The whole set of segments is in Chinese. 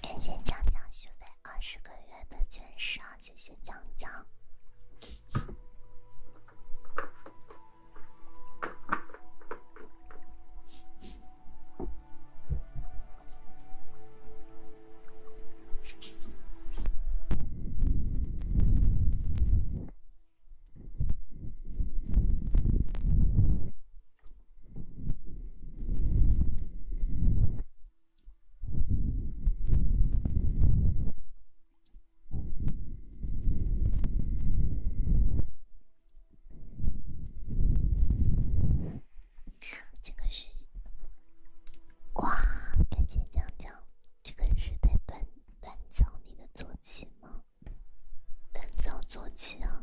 感谢江江续费二十个月的钻石，谢谢江江。这个是哇，感谢江江。这个是在锻锻造你的坐骑吗？锻造坐骑啊。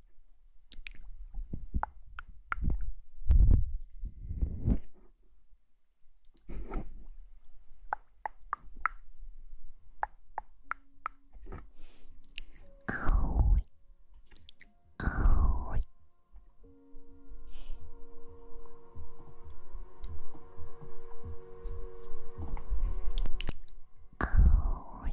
青い青い青い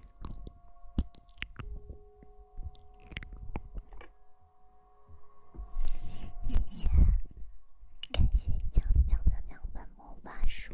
谢谢，感谢讲讲的两本魔法书。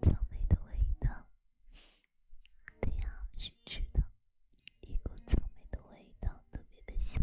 草莓的味道，对呀，是吃的，一股草莓的味道，特别的香。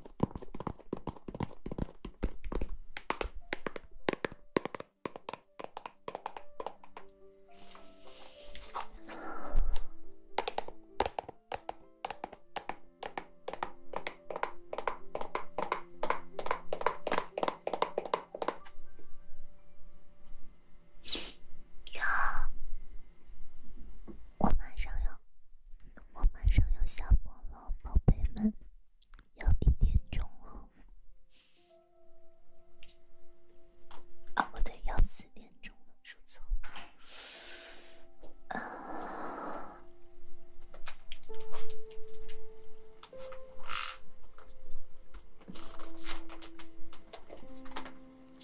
呀，我马上要。我马上要下播了，宝贝们，要一点钟了。啊，不对，要四点钟了，说错。啊。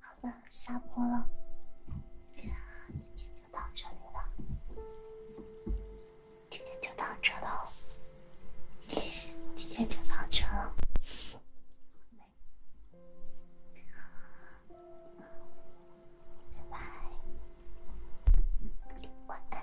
好的，下播了。今天就到这里了。今天就到这了。今天就到这了。拜拜，晚安。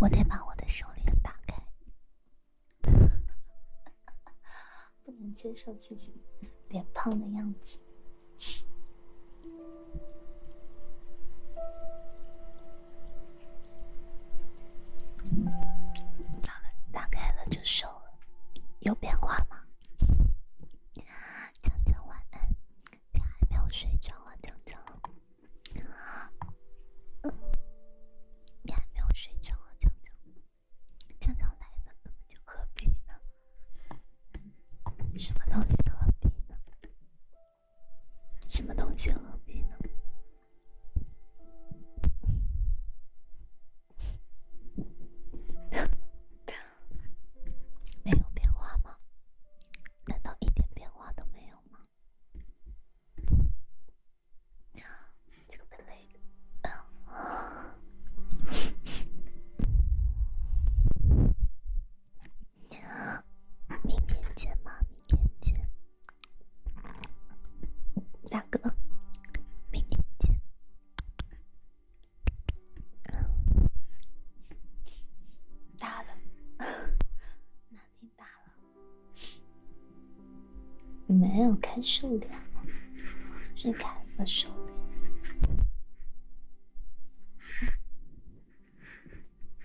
我得把我的手链打开，不能接受自己脸胖的样子。好了，打开了就瘦了，有变化吗？江江晚安，你还没有睡着啊，江江。好，你还没有睡着，江江，江江来了，那么就何必呢？什么东西何必呢？什么东西何必呢？没有变化吗？难道一点变化都没有吗？娘，这 明天见嘛，明天见。大哥，明天见。大了，没有开瘦脸，是开了瘦脸。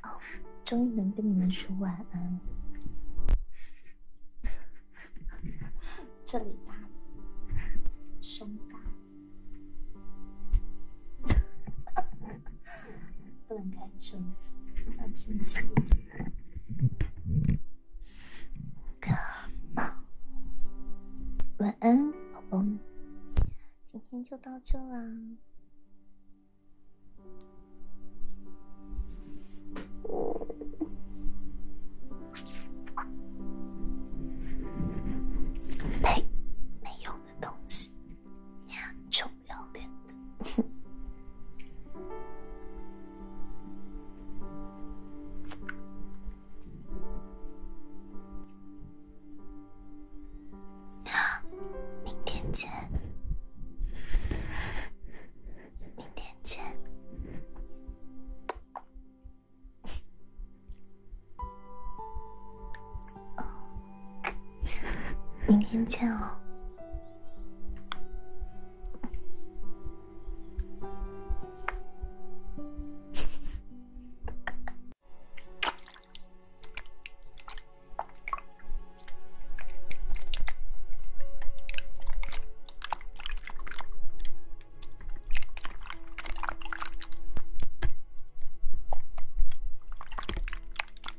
哦，终于能跟你们说晚安。这里大了，胸大。不能开车，放近点。g o 晚安，宝宝们。今天就到这啦。没，没有。的东西，臭不要脸的！明天见。明天见哦。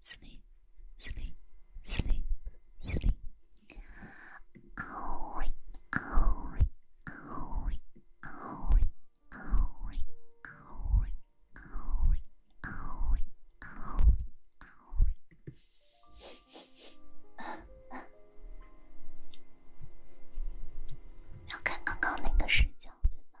sleep, sleep, sleep, sleep. Owry, owry, owry, owry, owry, owry, owry, owry, owry, owry. 要看刚刚那个视角，对吧？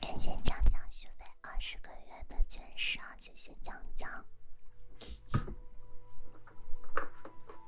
感谢江江续费二十个月的坚守，谢谢江江。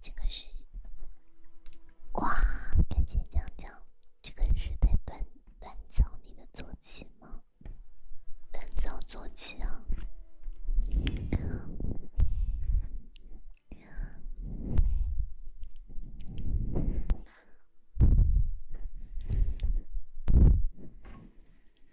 这个是哇，感谢江江，这个是在锻锻造你的坐骑吗？锻造坐骑啊。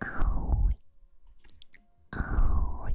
あおいあおい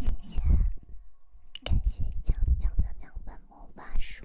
谢谢，感谢江江的两本魔法书。